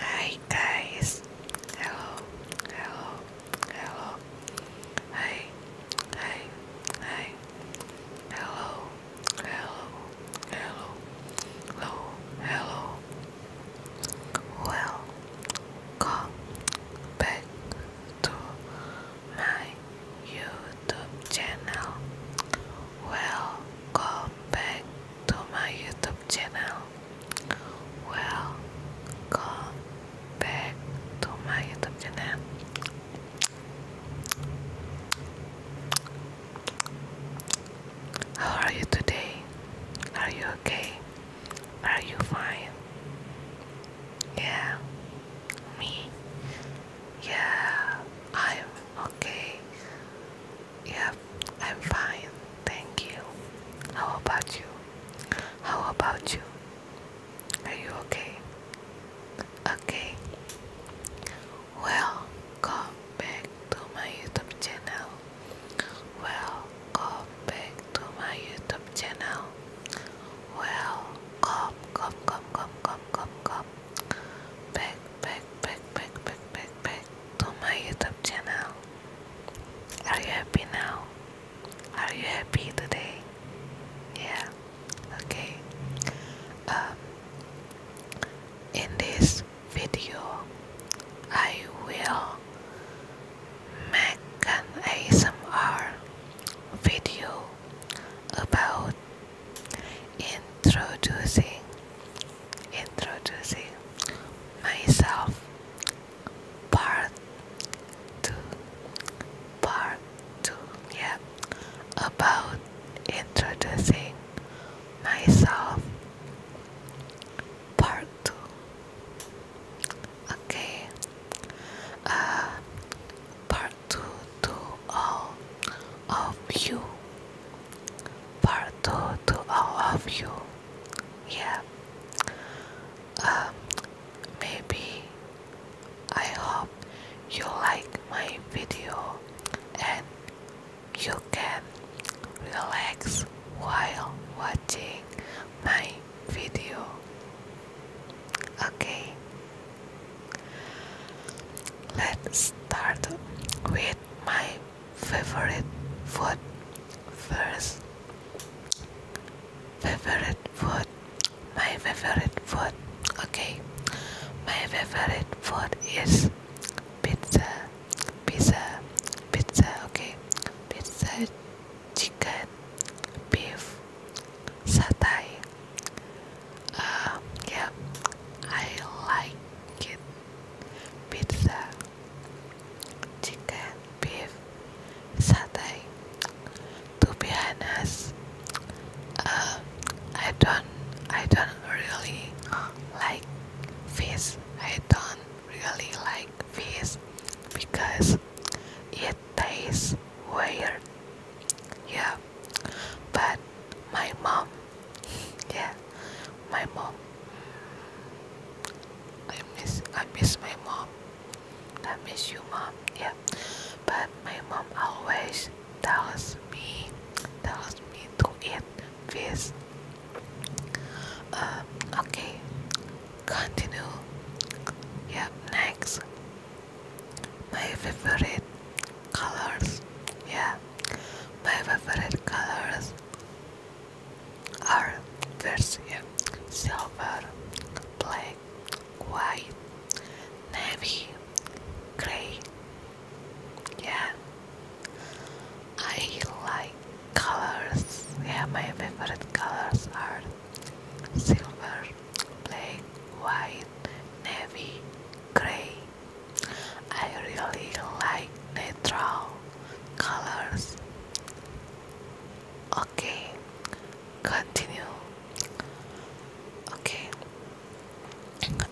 Hi guys, hello, hello, hello, hi, hi, hi, hello, hello, hello, hello, hello, well, back to my YouTube channel. Welcome back to my YouTube channel. Welcome back to my YouTube channel. How are you today? Are you okay? Are you fine? Yeah, me. Yeah, I'm okay. Yeah, I'm fine, thank you. How about you? How about you? Are you okay? Okay. Welcome back to my YouTube channel. Welcome back to my YouTube channel. Welcome, come, come, come, come, come, come, back back, back, back, back, back, back to my YouTube channel. Are you happy now? Are you happy today? Yeah. Okay. Um, in this video, I will make an ASMR video about introducing introducing myself part two part two yeah about introducing myself part two okay uh part two to all of you part two to all of you. Yeah. Um, maybe I hope you like my video and you can relax while watching my video. Okay, let's start with my favorite food first. Favorite food. My favorite food. Okay. My favorite food is pizza. Pizza. Pizza. Okay. Pizza, chicken, beef, satay. Uh, yeah, I like it. Pizza chicken, beef, satay. To uh, I don't, I don't really like fish. I don't really like fish because it tastes weird. Yeah, but my mom yeah my mom I miss I miss my mom I miss you mom yeah but my mom always tells me tells me to eat fish um, okay continue yeah next my favorite colors yeah my favorite colors are version silver, black, white, navy, grey. Yeah, I like colors. Yeah, my favorite colors are silver, black, white, navy, grey. I really like natural colors. Okay, continue. Okay,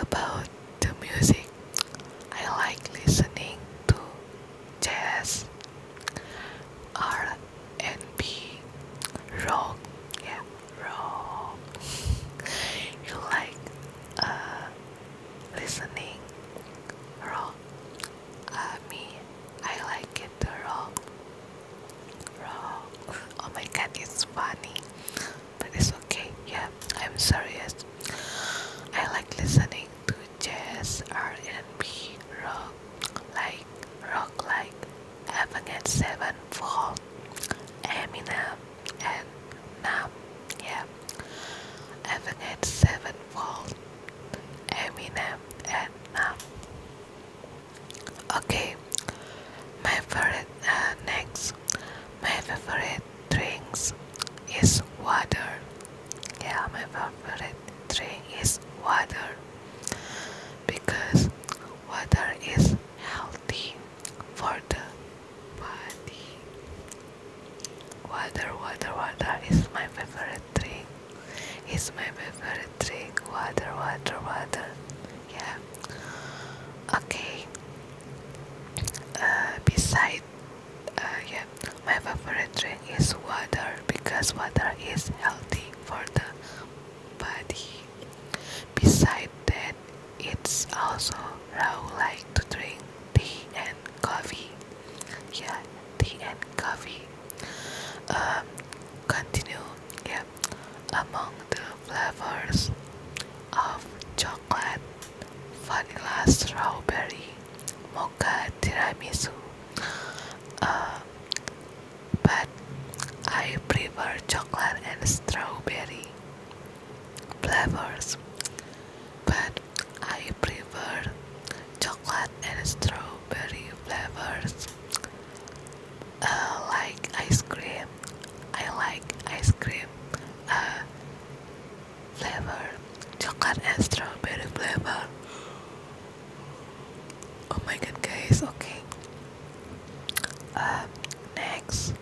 about the music, I like listening to jazz, R and B, rock. Yeah, rock. you like uh, listening raw. Uh, me, I like it raw. Raw. Oh my god, it's funny, but it's okay. Yeah, I'm serious. I like listening to jazz, R&B, rock, like rock, like Avenged Sevenfold, Eminem and now yeah seven Sevenfold Eminem and Nam okay my favorite uh, next my favorite drinks is water yeah my favorite drink is water because water is healthy for the body Water, water, water is my favorite drink. It's my favorite drink. Water, water, water. Yeah. Okay. Uh, beside, uh, yeah, my favorite drink is water because water is healthy for the body. Besides that, it's also how I like to drink tea and coffee. Yeah, tea and coffee. Um, continue. Yeah, among the flavors of chocolate, vanilla, strawberry, mocha, tiramisu. Uh, but I prefer chocolate and strawberry flavors but I prefer chocolate and strawberry flavors. Uh, like ice cream, I like ice cream uh, flavor, chocolate and strawberry flavor. Oh my god, guys! Okay. Uh, next,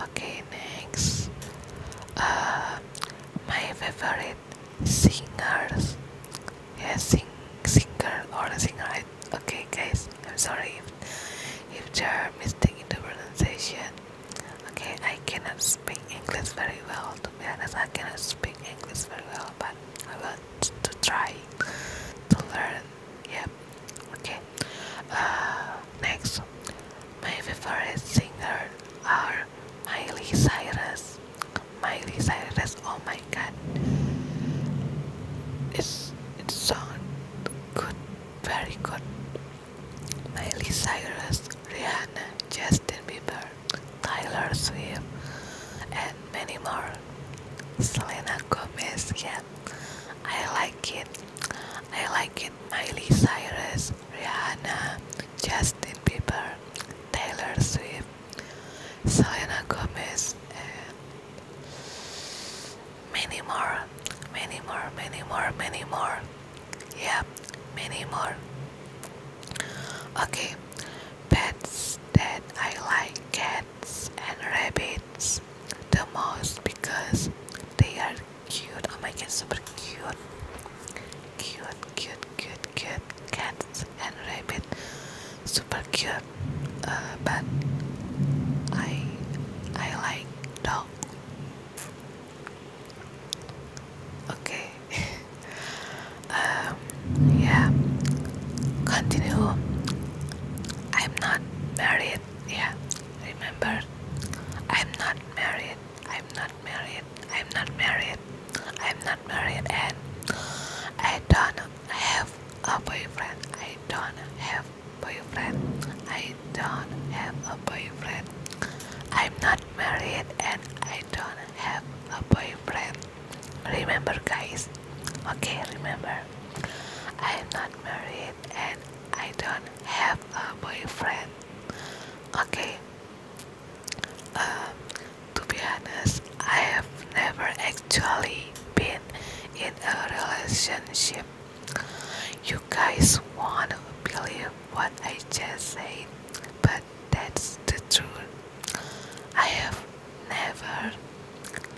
Okay, next. Uh, my favorite singers. Yeah, sing, singer or singer. okay, guys, I'm sorry if, if there are mistakes in the pronunciation. Okay, I cannot speak English very well. To be honest, I cannot speak English very well, but I want to try to learn. Yeah. Okay. Uh, next, my favorite singer are Miley Cyrus. Miley Cyrus, oh my god, it's it sound good, very good. Miley Cyrus, Rihanna, Justin Bieber, Tyler Swift, and many more. Selena Gomez, yeah, I like it. I like it. Miley Cyrus, Rihanna, Justin Bieber, Taylor Swift, Selena Gomez, eh, many more, many more, many more, many more. Yeah, many more. Okay, pets that I like cats and rabbits the most because they are cute. Oh my god, super cute. Cute, cute, cute, cute. Cats and rabbit. Super cute. Uh, but I I like dog. Okay. um yeah. Continue. I'm not married. Yeah. Remember, I'm not married. I'm not married. I'm not married. I'm not married, and I don't have a boyfriend. I don't have boyfriend. I don't have a boyfriend. I'm not married, and I don't have a boyfriend. Remember, guys. Okay, remember. I'm not married, and I don't have a boyfriend. Okay. Uh, to be honest, I have never actually been in a relationship. You guys wanna believe what I just said, but that's the truth. I have never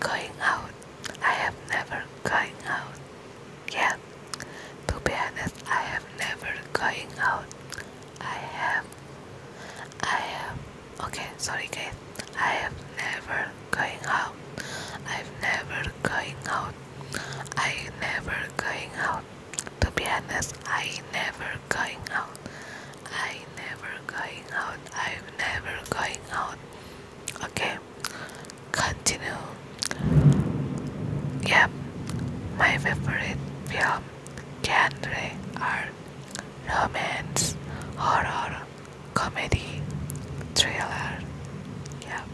going out. I have never going out. Yeah, to be honest, I have never going out. I have. I have. Okay, sorry guys. I have never going out. I've never going out. I never going out. To be honest, I never going out. I never going out. I'm never going out. Okay, continue yep my favorite film genre are romance horror comedy trailer. yep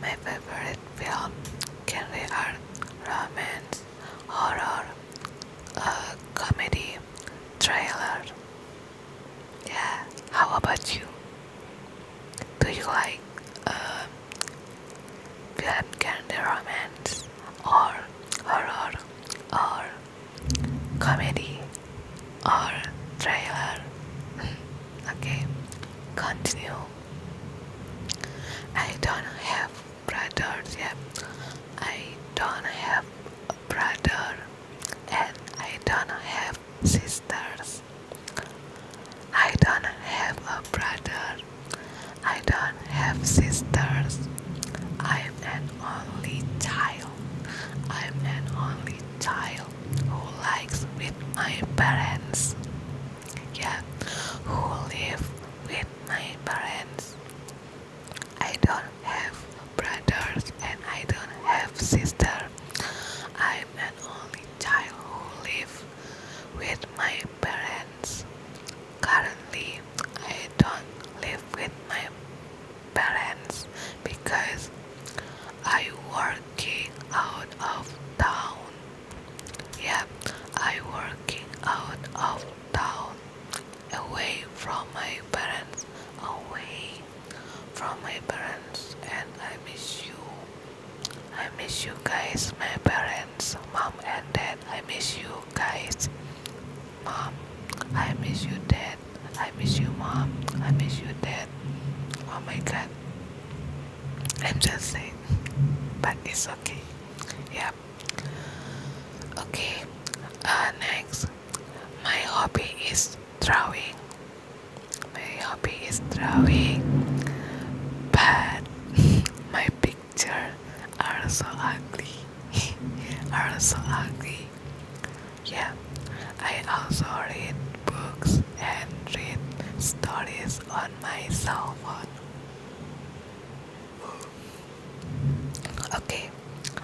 my favorite film genre are romance horror uh, comedy trailer yeah how about you do um, you like uh, black candy romance or horror or comedy or thriller? okay, continue. I don't have brothers yet. I don't have brother and I don't have sisters. I don't have a brother. I don't have sisters. I'm an only child. I'm an only child who lives with my parents. Yeah, who live with my parents. I don't have brothers and I don't have sisters. I'm an only child who live with my parents. Currently, I don't live with my parents because I working out of town. Yep, I working out of town, away from my parents, away from my parents and I miss you. I miss you guys, my parents, mom and dad. I miss you guys. Mom, I miss you dad. I miss you mom. I miss you dad. Oh my god. I'm just saying. But it's okay. Yeah. Okay. Uh, next. My hobby is drawing my hobby is drawing but my pictures are so ugly are so ugly yeah I also read books and read stories on my cell phone Okay,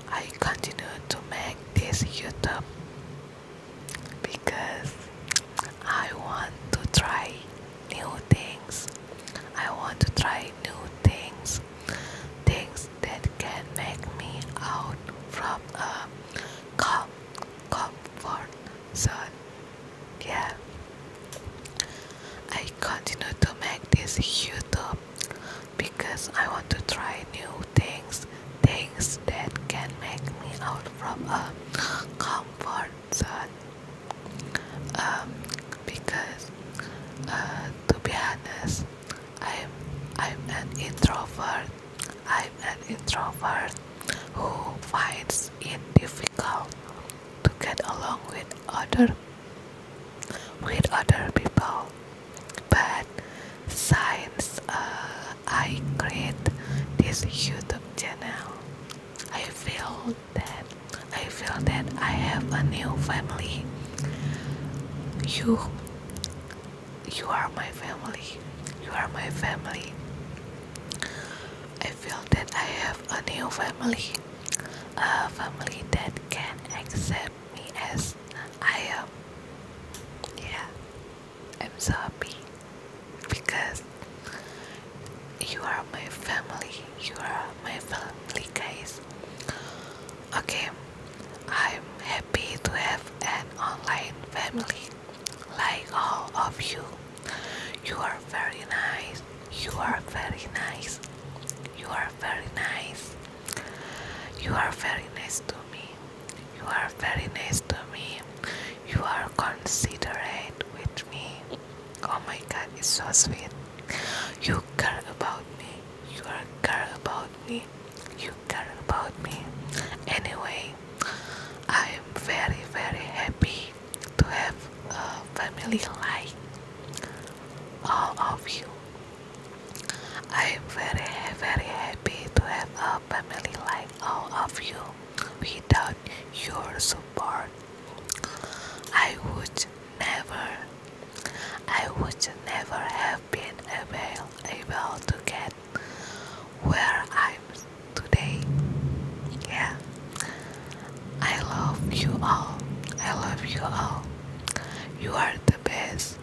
I continue to make this YouTube because I want to try new things. I want to try new things, things that can make me out from a com comfort zone. Yeah, I continue to make this YouTube because I want to try new things things that can make me out from a comfort zone um, because uh, to be honest I'm I'm an introvert I'm an introvert who finds it difficult to get along with other with other people but since uh, I create this YouTube channel, I feel that I feel that I have a new family. You, you are my family. You are my family. I feel that I have a new family, a family that can accept me as I am. Yeah. I'm so happy because you are my family. You are my family, guys. Okay, I'm happy to have an online family like all of you. You are very nice. You are very nice. You are very nice. You are very nice to me. You are very nice to me. You are considerate with me. Oh my god, it's so sweet. You care about me. You care about me. You care about me. Anyway, I am very very happy to have a family like all of you. I am very very happy to have a family like all of you without your support. I would never, I would never have been able, able to get where I'm today. Yeah, I love you all. I love you all. You are the best.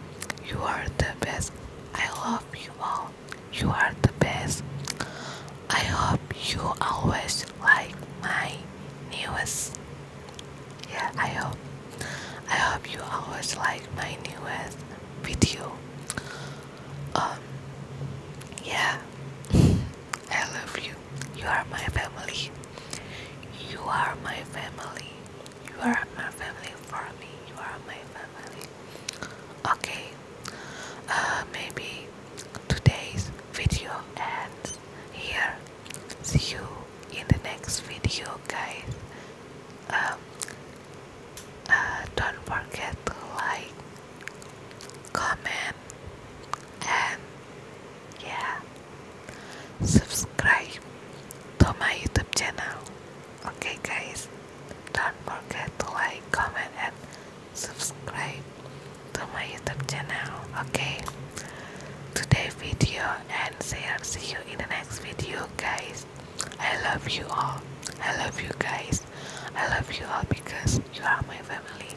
You are the best. I love you all. You are the best. I hope you always like my newest. Yeah, I hope. I hope you always like my newest video. Um, yeah, I love you. You are my family. You are my family. You are my family for me. You are my family. Okay, uh, maybe today's video ends here. See you in the next video, guys. Um, uh, don't forget to like, comment, and yeah, subscribe to my YouTube channel. Okay, guys. Don't forget to like, comment, and subscribe to my YouTube channel. Okay, today video and share. See you in the next video, guys. I love you all. I love you guys. I love you all because you are my family.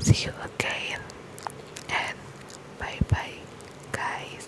See you again and bye bye, guys.